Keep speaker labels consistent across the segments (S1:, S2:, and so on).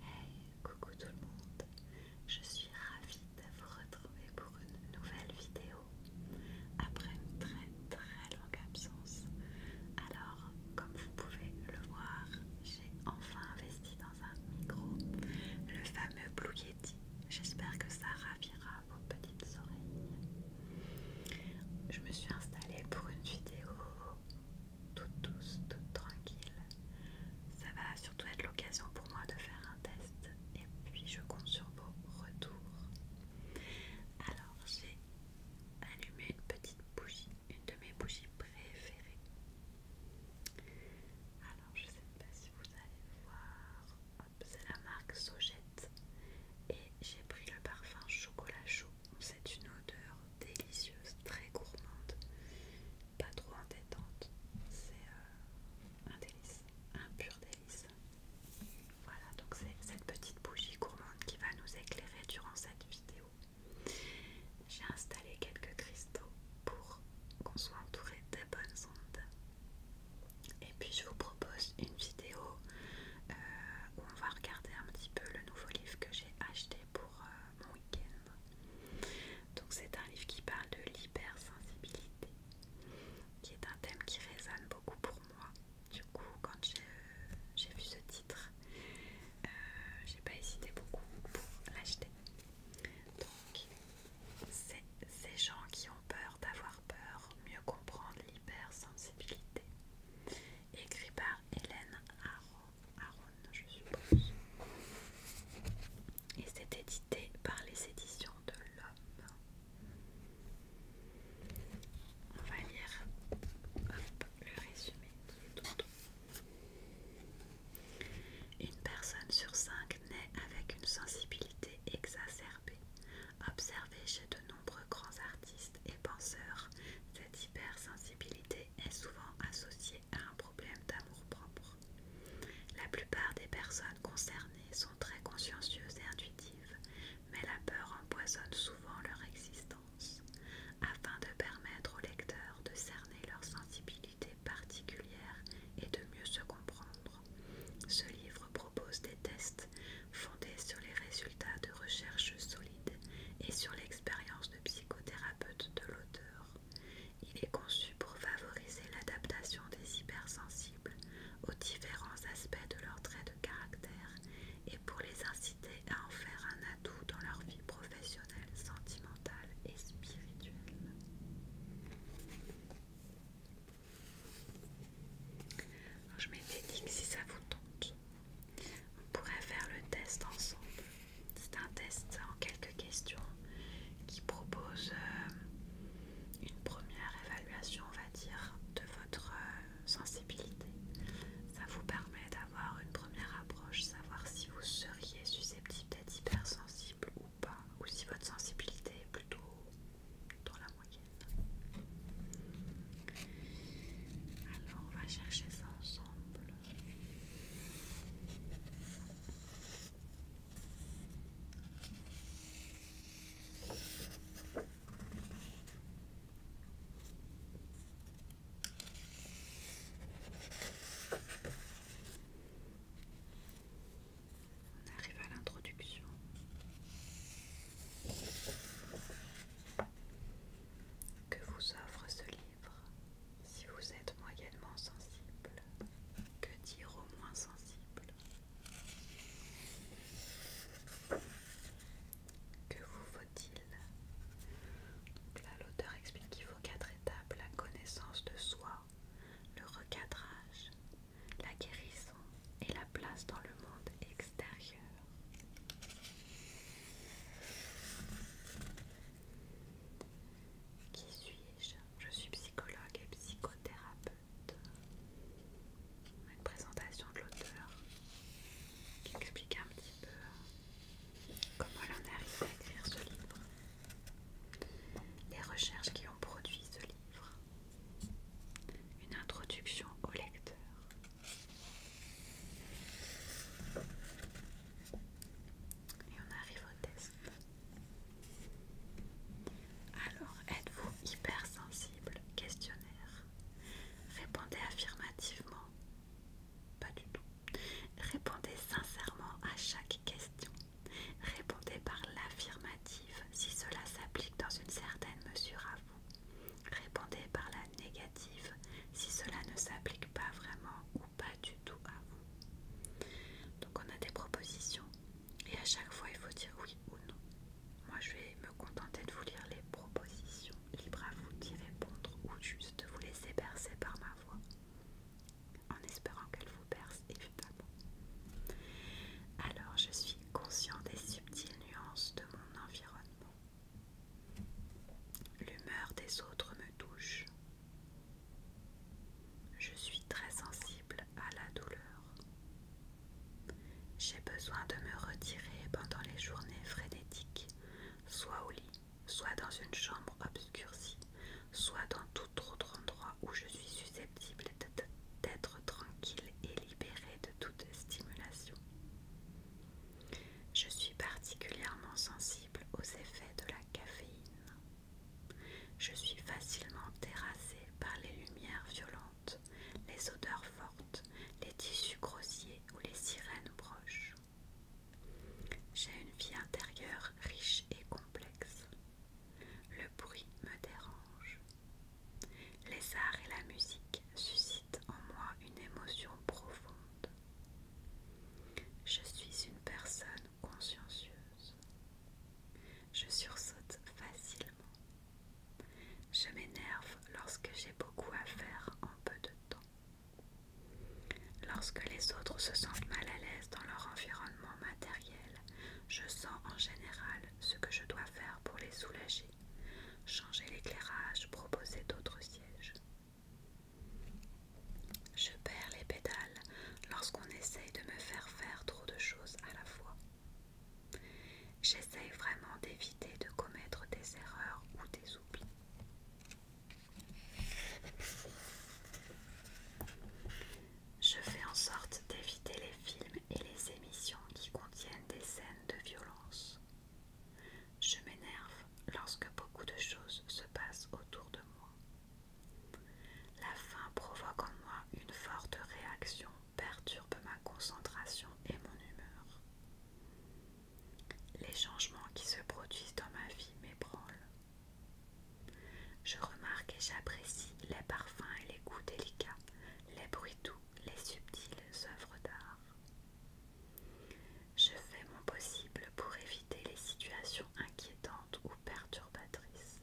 S1: Hey, coucou tout le monde, je suis ravie de vous retrouver pour une nouvelle vidéo après une très très longue absence. Alors, comme vous pouvez le voir, j'ai enfin investi dans un micro, le fameux Blue Yeti. J'espère que ça ravira vos petites oreilles. Je me suis installée pour une vidéo toute douce, toute tranquille. Ça va surtout être l'occasion pour moi de faire un test et puis je compte sur vos retours. Alors j'ai allumé une petite bougie, une de mes bougies préférées. Alors je ne sais pas si vous allez voir, c'est la marque Sojette et j'ai pris le parfum chocolat chaud c'est une odeur délicieuse, très gourmande, pas trop entêtante. C'est euh, un délice, un pur délice. Voilà, donc c'est cette petite bougie gourmande qui va nous éclairer durant cette vidéo. J'ai installé quelques cristaux pour qu'on soit entouré des bonnes ondes. Et puis je vous propose une vidéo euh, on va regarder un petit peu le nouveau livre que j'ai acheté pour euh, mon week-end. Donc c'est un livre qui parle de l'hypersensibilité, qui est un thème qui résonne beaucoup pour moi. Du coup, quand j'ai euh, vu ce titre, euh, j'ai pas hésité beaucoup pour l'acheter. Donc, c'est ces gens qui ont peur d'avoir peur, mieux comprendre l'hypersensibilité. Écrit par Hélène Aron, je suppose. Et c'est édité par les éditions de l'Homme. On va lire le résumé Une personne sur cinq naît avec une sensibilité exacerbée Observer observée chez de nombreux grands artistes et penseurs, cette hypersensibilité est souvent associée à un problème d'amour-propre. La plupart des personnes concernées sont très consciencieuses et intuitives, mais la peur empoisonne souvent leur existence. Afin de permettre au lecteur de cerner leur sensibilité particulière et de mieux se comprendre, ce livre propose des tests fondés sur les résultats de recherches solides et sur l'expérience de psychothérapeute de l'auteur. Il est conçu pour favoriser l'adaptation des hypersensibles aux différents aspects de leurs traits de caractère et pour les inciter à en faire un atout dans leur vie professionnelle, sentimentale et spirituelle je m'étais si ça vous tente, on pourrait faire le test ensemble. C'est un test en quelques questions qui propose euh, une première évaluation, on va dire, de votre euh, sensibilité. Ça vous permet d'avoir une première approche, savoir si vous seriez susceptible d'être hypersensible ou pas, ou si votre sensibilité est plutôt dans la alors on va chercher ça ensemble. On arrive à l'introduction. Que vous offre ce livre si vous êtes moyennement sensible Que dire au moins sensible Que vous faut-il Là, l'auteur explique qu'il faut quatre étapes la connaissance de soi, le recadrage, la guérison et la place dans le monde extérieur. Qui suis-je Je suis psychologue et psychothérapeute. Une présentation de l'auteur qui explique un petit peu comment elle en arrive à écrire ce livre. Les recherches qui ont produit ce livre. Une introduction au lecteur. Et on arrive au test. Alors, êtes-vous hypersensible Questionnaire. Répondez affirmativement. Pas du tout. Répondez sincèrement à chaque question. Répondez par l'affirmative si cela s'applique dans une certaine mesure à vous. Répondez par la négative si cela ne s'applique pas vraiment ou pas du tout à vous. Donc on a des propositions et à chaque fois il faut dire oui ou non. Moi je vais me contenter de vous lire les propositions, libre à vous d'y répondre ou juste de vous laisser bercer par ma voix en espérant qu'elle vous perce évidemment. Alors je suis conscient des subtiles nuances de mon environnement. L'humeur des autres me touche. Je suis très sensible à la douleur. J'ai besoin de me retirer pendant les journées frénétiques, soit au lit, soit dans une chambre obscurcie, soit dans tout endroits où je suis susceptible d'être tranquille et libérée de toute stimulation. Je suis particulièrement sensible aux effets de la caféine. Je suis facilement terrassée par les lumières violentes, les odeurs fortes, les tissus grossiers ou les sirènes proches. J'ai une vie intérieure riche et complexe. Le bruit me dérange. Les arts et la musique suscitent en moi une émotion profonde. Je suis une personne consciencieuse. Je sursaute facilement. Je m'énerve lorsque j'ai beaucoup à faire en peu de temps. Lorsque les autres se sentent mal à l'aise dans leur environnement matériel, je sens en général ce que je dois faire pour les soulager, changer l'éclairage, proposer d'autres sièges. Je perds les pédales lorsqu'on essaye de me faire faire trop de choses à la fois. J'essaye vraiment d'éviter de commettre des erreurs ou des oublis. Je fais en sorte d'éviter les films et les émissions qui contiennent des scènes de violence. Je m'énerve lorsque beaucoup de choses se passent autour de moi. La faim provoque en moi une forte réaction, perturbe ma concentration et mon humeur. Les changements qui se produisent dans ma vie m'ébranlent. Je remarque et j'apprécie les parfums et les goûts délicats, les bruits doux, les subtiles œuvres d'art. Je fais mon possible pour éviter les situations inquiétantes ou perturbatrices.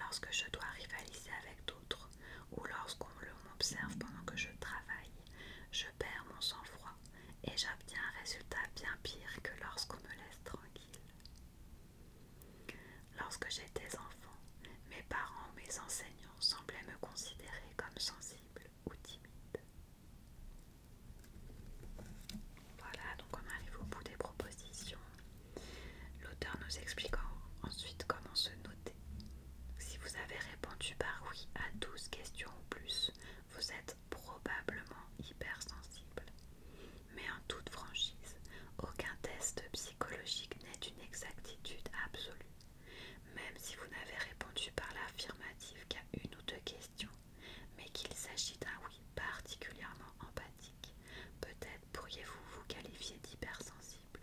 S1: Lorsque je dois rivaliser avec d'autres ou lorsqu'on m'observe pendant que je travaille, je perds mon sang-froid et j'obtiens un résultat bien pire que lorsqu'on me laisse tranquille. Lorsque j'étais enfant, mes parents ou mes enseignants semblaient me considérer comme sensible ou timide. Voilà, donc on arrive au bout des propositions. L'auteur nous expliquant ensuite comment se noter. Si vous avez répondu par oui à 12 questions ou plus, vous êtes probablement hypersensible. Mais en toute franchise, aucun test psychologique n'est d'une exactitude absolue. Même si vous n'avez répondu par l'affirmative qu'à une ou deux questions, mais qu'il s'agit d'un oui particulièrement empathique, peut-être pourriez-vous vous qualifier d'hypersensible.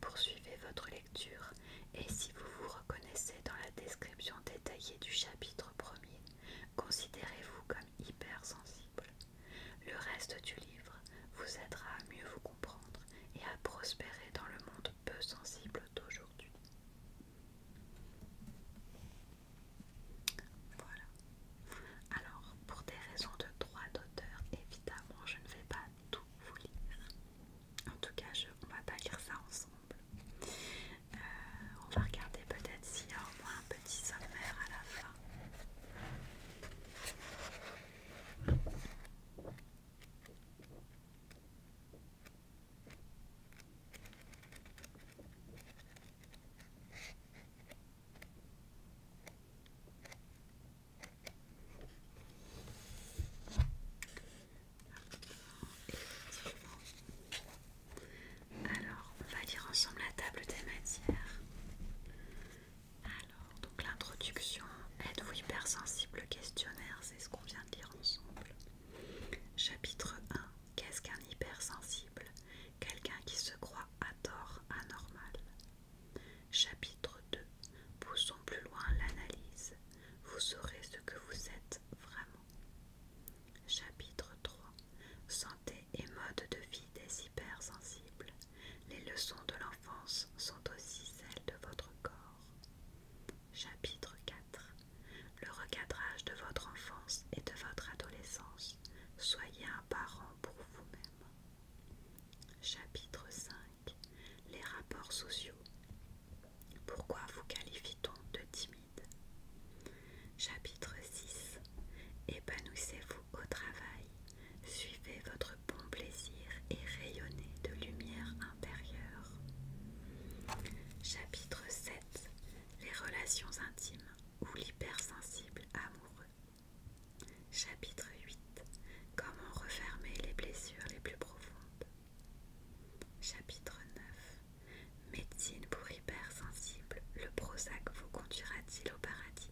S1: Poursuivez votre et si vous vous reconnaissez dans la description détaillée du chapitre premier, considérez-vous comme hypersensible. Le reste du livre vous aidera à mieux vous comprendre et à prospérer dans le monde peu sensible d'aujourd'hui. Voilà. Alors, pour des raisons de droit d'auteur, évidemment, je ne vais pas tout vous lire. En tout cas, je, on va pas lire ça ensemble. Euh, on va regarder peut-être s'il y a au moins un petit sommaire à la fin. Alors, on va lire ensemble la table des matières. Alors, donc l'introduction, êtes-vous hypersensible questionnaire, c'est ce qu'on vient de lire ensemble. Chapitre 1, qu'est-ce qu'un hypersensible Quelqu'un qui se croit à tort anormal. Chapitre 2 Poussons plus loin l'analyse. Vous saurez ce que vous êtes vraiment. Chapitre 3 Santé et mode de vie des hypersensibles. Les leçons de l'enfance sont aussi celles de votre corps. Chapitre 4 Le recadrage de votre enfance et de votre adolescence. Soyez un parent pour vous-même. Chapitre 5 les rapports sociaux. Pourquoi vous qualifie-t-on de timide Chapitre 6 Épanouissez-vous au travail, suivez votre bon plaisir et rayonnez de lumière intérieure. Chapitre 7 Les relations intimes ou l'hypersensible amoureux. Chapitre 8 Comment refermer les blessures les plus profondes Chapitre 9 Médecine pour hypersensibles Le Prozac vous conduira-t-il au paradis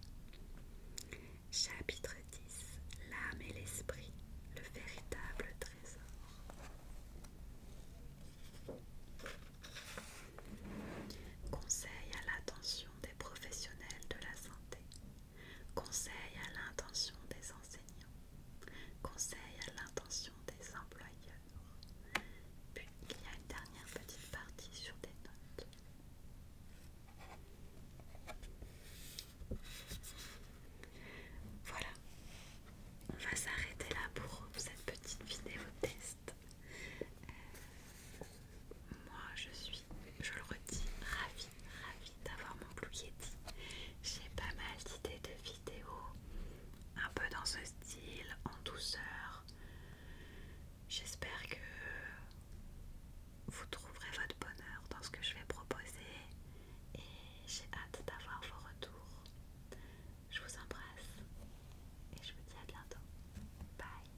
S1: Chapitre 10 L'âme et l'esprit Le véritable trésor Conseil à l'attention des professionnels de la santé conseil à l'intention des enseignants, conseil à l'intention des employeurs. Puis il y a une dernière petite partie sur des notes. Voilà, on va s'arrêter là pour cette petite vidéo test. Euh, moi je suis je le redis, ravie, ravie d'avoir mon Blue J'ai pas mal d'idées de vidéos, un peu dans ce style, en douceur. J'espère que vous trouverez votre bonheur dans ce que je vais proposer et j'ai hâte d'avoir vos retours. Je vous embrasse et je vous dis à bientôt. Bye